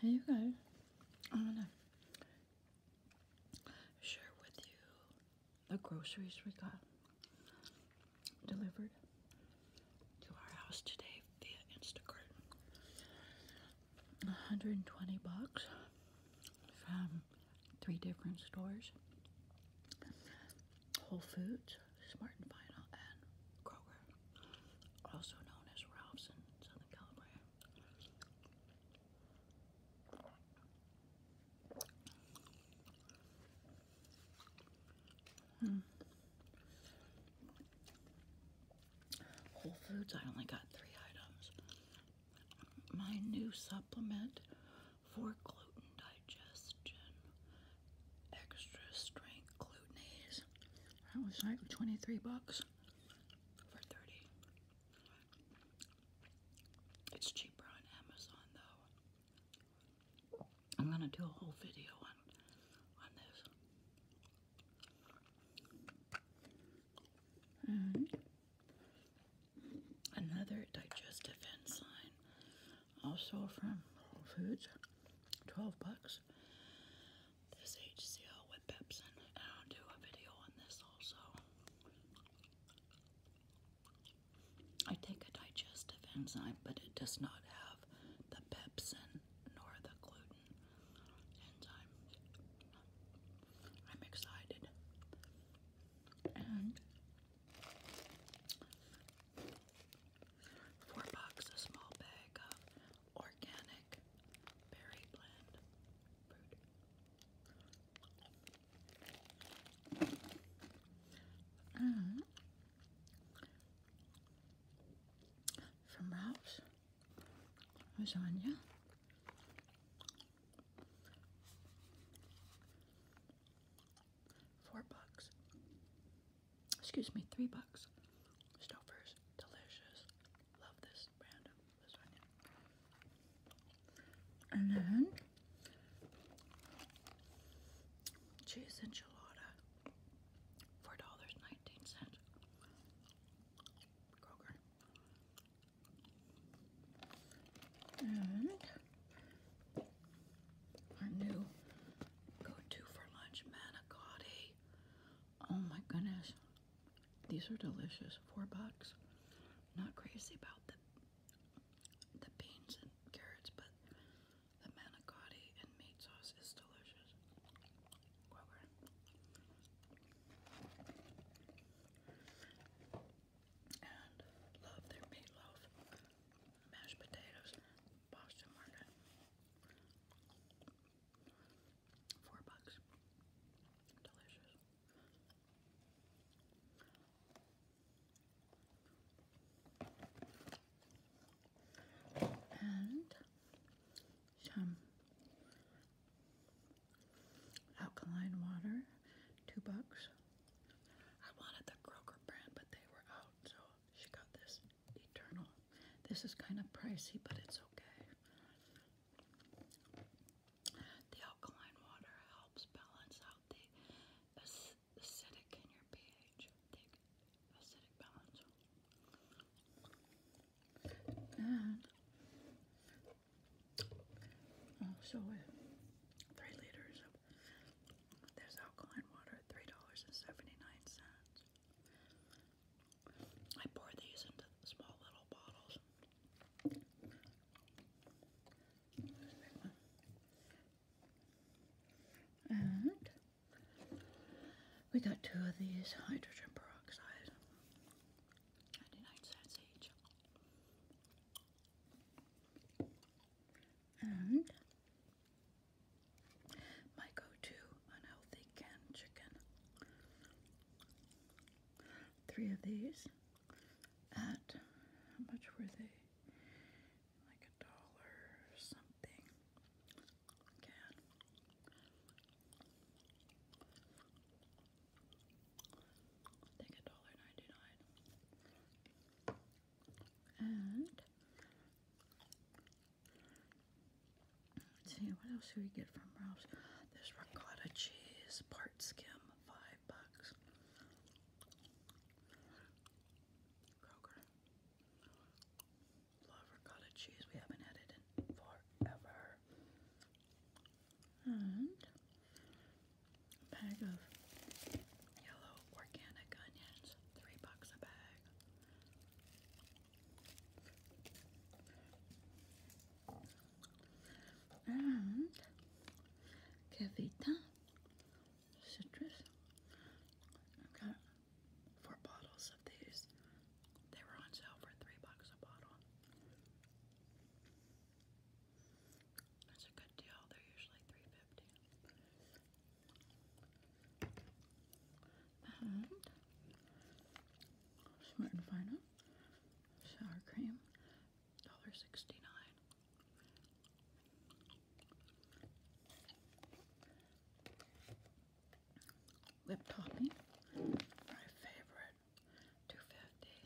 Here you go. I'm gonna share with you the groceries we got delivered to our house today via Instacart. 120 bucks from three different stores. Whole Foods, Smart and Final, and Kroger, also known as Ralph's in Southern California. Hmm. Whole Foods, I only got three items. My new supplement for gluten digestion, extra strength glutenase, that was like 23 bucks for 30. It's cheaper on Amazon though. I'm gonna do a whole video on on this. another digestive enzyme, also from Whole Foods, 12 bucks this HCL with Pepsin, and I'll do a video on this also. I take a digestive enzyme, but it does not have the pepsin nor the gluten enzyme. I'm excited. And Four bucks a small bag of organic berry blend fruit. Mm. From Ralph's lasagna. Four bucks excuse me, three bucks. Stouffer's delicious. Love this brand of lasagna. And then cheese enchilada, four dollars nineteen cents. Kroger. And our new go-to for lunch, manicotti. Oh my goodness. These are delicious. Four bucks. Not crazy about the the beans and carrots, but the manicotti and meat sauce is delicious. And love their meatloaf mashed potatoes, Boston Market, four bucks, delicious. And some alkaline water, two bucks. I wanted the Kroger brand, but they were out, so she got this Eternal. This is kind of pricey, but it's okay. The alkaline water helps balance out the acidic in your pH. The acidic balance. And also, oh, three liters of there's alkaline water $3.79. I pour these into small little bottles. And we got two of these hydrogen peroxide, 99 cents each my go-to unhealthy canned chicken. Three of these at how much were they? Like a dollar or something. Can. I a dollar ninety-nine. And let's see what else do we get from Ralph's. This ricotta cheese, part skim, five bucks. Love ricotta cheese. We haven't had it in forever bag of yellow organic onions, three bucks a bag. And Kevita citrus. I got four bottles of these. They were on sale for three bucks a bottle. That's a good deal. They're usually three fifty. And Smart and Final sour cream, dollar sixty nine. Lip topping, my favorite, two fifty.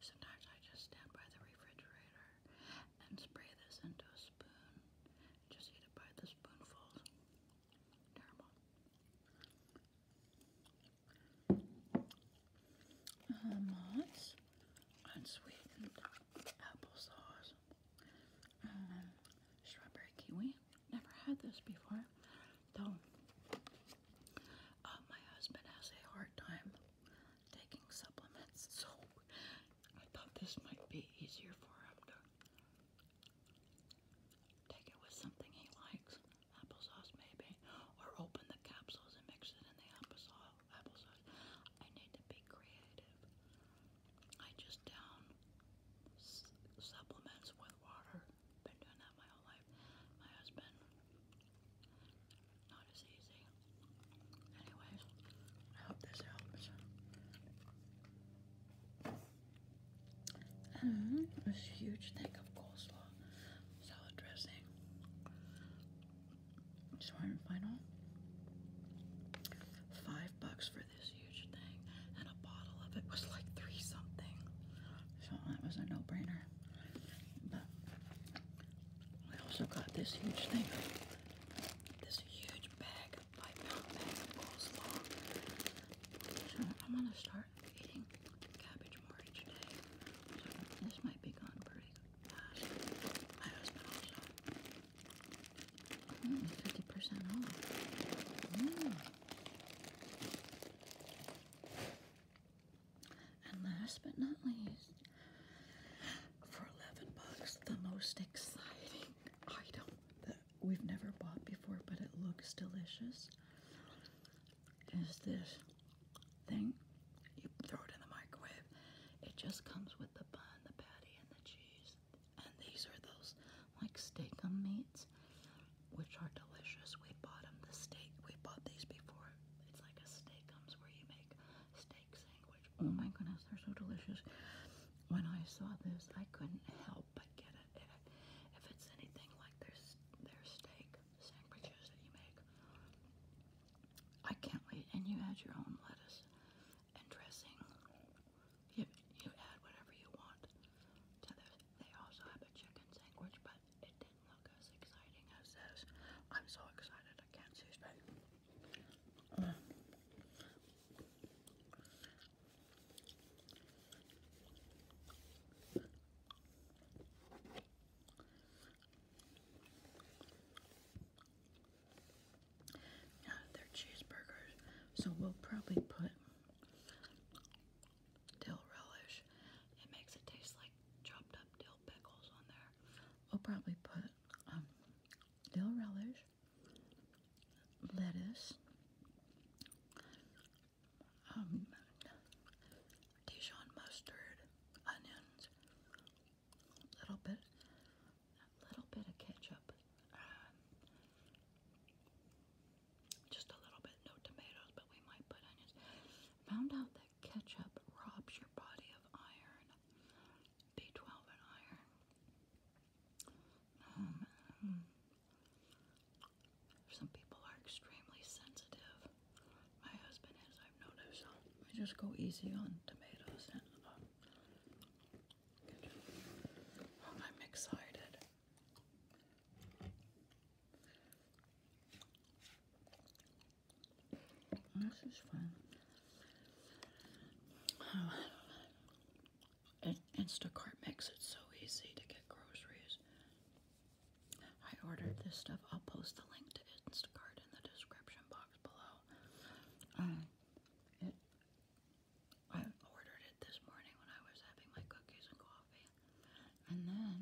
Sometimes I just stand by the refrigerator and spray this into a spoon. Just eat it by the spoonfuls. Terrible. Uh, moths, unsweetened applesauce, um, strawberry kiwi. Never had this before, though. Uh, my husband has a hard time taking supplements, so I thought this might be easier for him to take it with something he likes, applesauce maybe, or open the capsules and mix it in the applesauce. I need to be creative. I just down supplements with water. Been doing that my whole life. My husband not as easy. Anyways, I hope this helps. this huge thing of coleslaw, salad dressing, short final. Five bucks for this huge thing, and a bottle of it was like three something. So that was a no-brainer. We also got this huge thing, this huge bag, five pound bag I'm gonna start eating cabbage more today. this might be gone pretty fast. My husband also. 50% mm, off. Mm. And last but not least, for 11 bucks, the most exciting item that we've never bought before, but it looks delicious, is this thing. You throw it in the microwave. It just comes with the bun, the patty, and the cheese. And these are those like steak meats, which are delicious. We bought them the steak. We bought these before it's like a steak where you make steak sandwich. Oh my mm. goodness, they're so delicious. When I saw this, I couldn't help but get it. If, it's anything like their their steak sandwiches that you make, I can't wait. And you add your own lettuce and dressing. You you add whatever you want to this. They also have a chicken sandwich, but it didn't look as exciting as this. I'm so excited I can't see straight. Mm. they're cheeseburgers, so we'll probably put dill relish. It makes it taste like chopped up dill pickles on there. We'll probably put um, dill relish, lettuce, um, Dijon mustard, onions, a little bit, a little bit of ketchup, um, just a little bit, no tomatoes, but we might put onions, Found out that ketchup robs your body of iron. B12 and iron. Um, hmm. some people are extremely sensitive. My husband is, I've noticed. I just go easy on tomatoes uh, I'm excited. This is fun. Oh. It, Instacart makes it so easy to get groceries. I ordered this stuff. I'll post the link to Instacart in the description box below. Um, I ordered it this morning when I was having my cookies and coffee. And then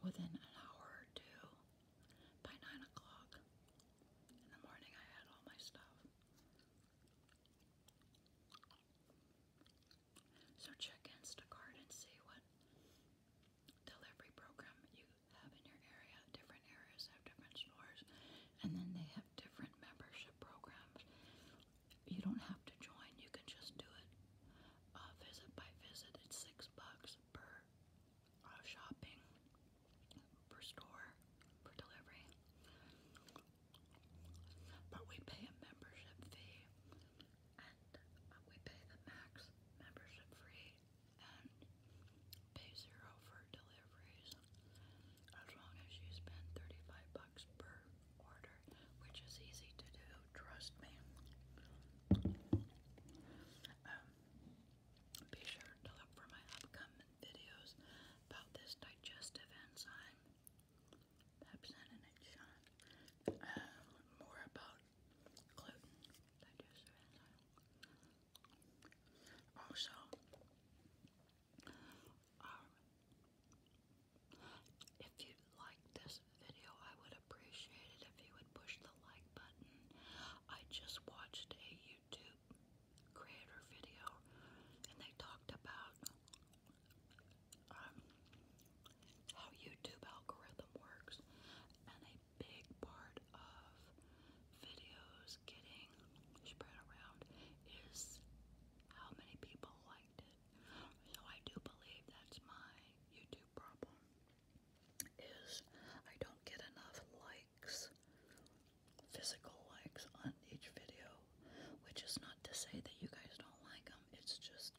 within an hour or two by nine o'clock in the morning I had all my stuff. So check Instacart and see what delivery program you have in your area. Different areas have different stores and then they have different membership programs you don't have to join. You can just do it uh, visit by visit. It's six bucks per uh, shopping, per store, for delivery. But we pay a membership fee, and uh, we pay the max membership fee and pay zero for deliveries as long as you spend 35 bucks per order, which is easy to do, trust me. Um, be sure to look for my upcoming videos about this digestive enzyme, pepsin and um, more about gluten, digestive enzyme. Also, if you like this video, I would appreciate it if you would push the like button. I just watched a YouTube creator video and they talked about um, how YouTube algorithm works, and a big part of videos getting spread around is how many people liked it. So I do believe that's my YouTube problem is I don't get enough likes, physical likes on each video, which is not to say that you guys don't like them. It's just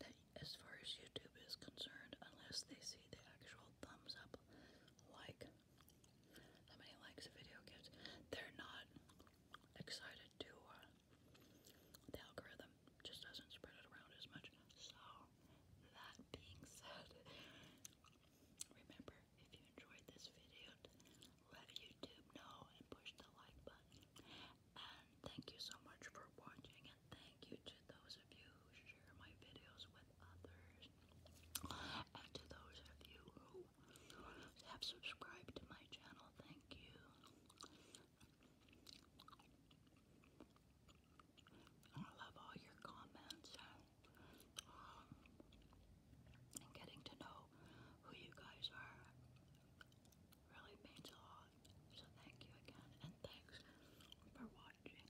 that as far as YouTube is concerned, unless they see the actual thumbs up like how many likes a video gets, they're not excited to, uh, the algorithm just doesn't spread it around as much. So, that being said, remember, if you enjoyed this video, let YouTube know and push the like button. And thank you so much for watching, and thank you to those of you who share my videos with others, and to those of you who have subscribed to my channel. Thank you. I love all your comments uh, and getting to know who you guys are really means a lot. So thank you again and thanks for watching.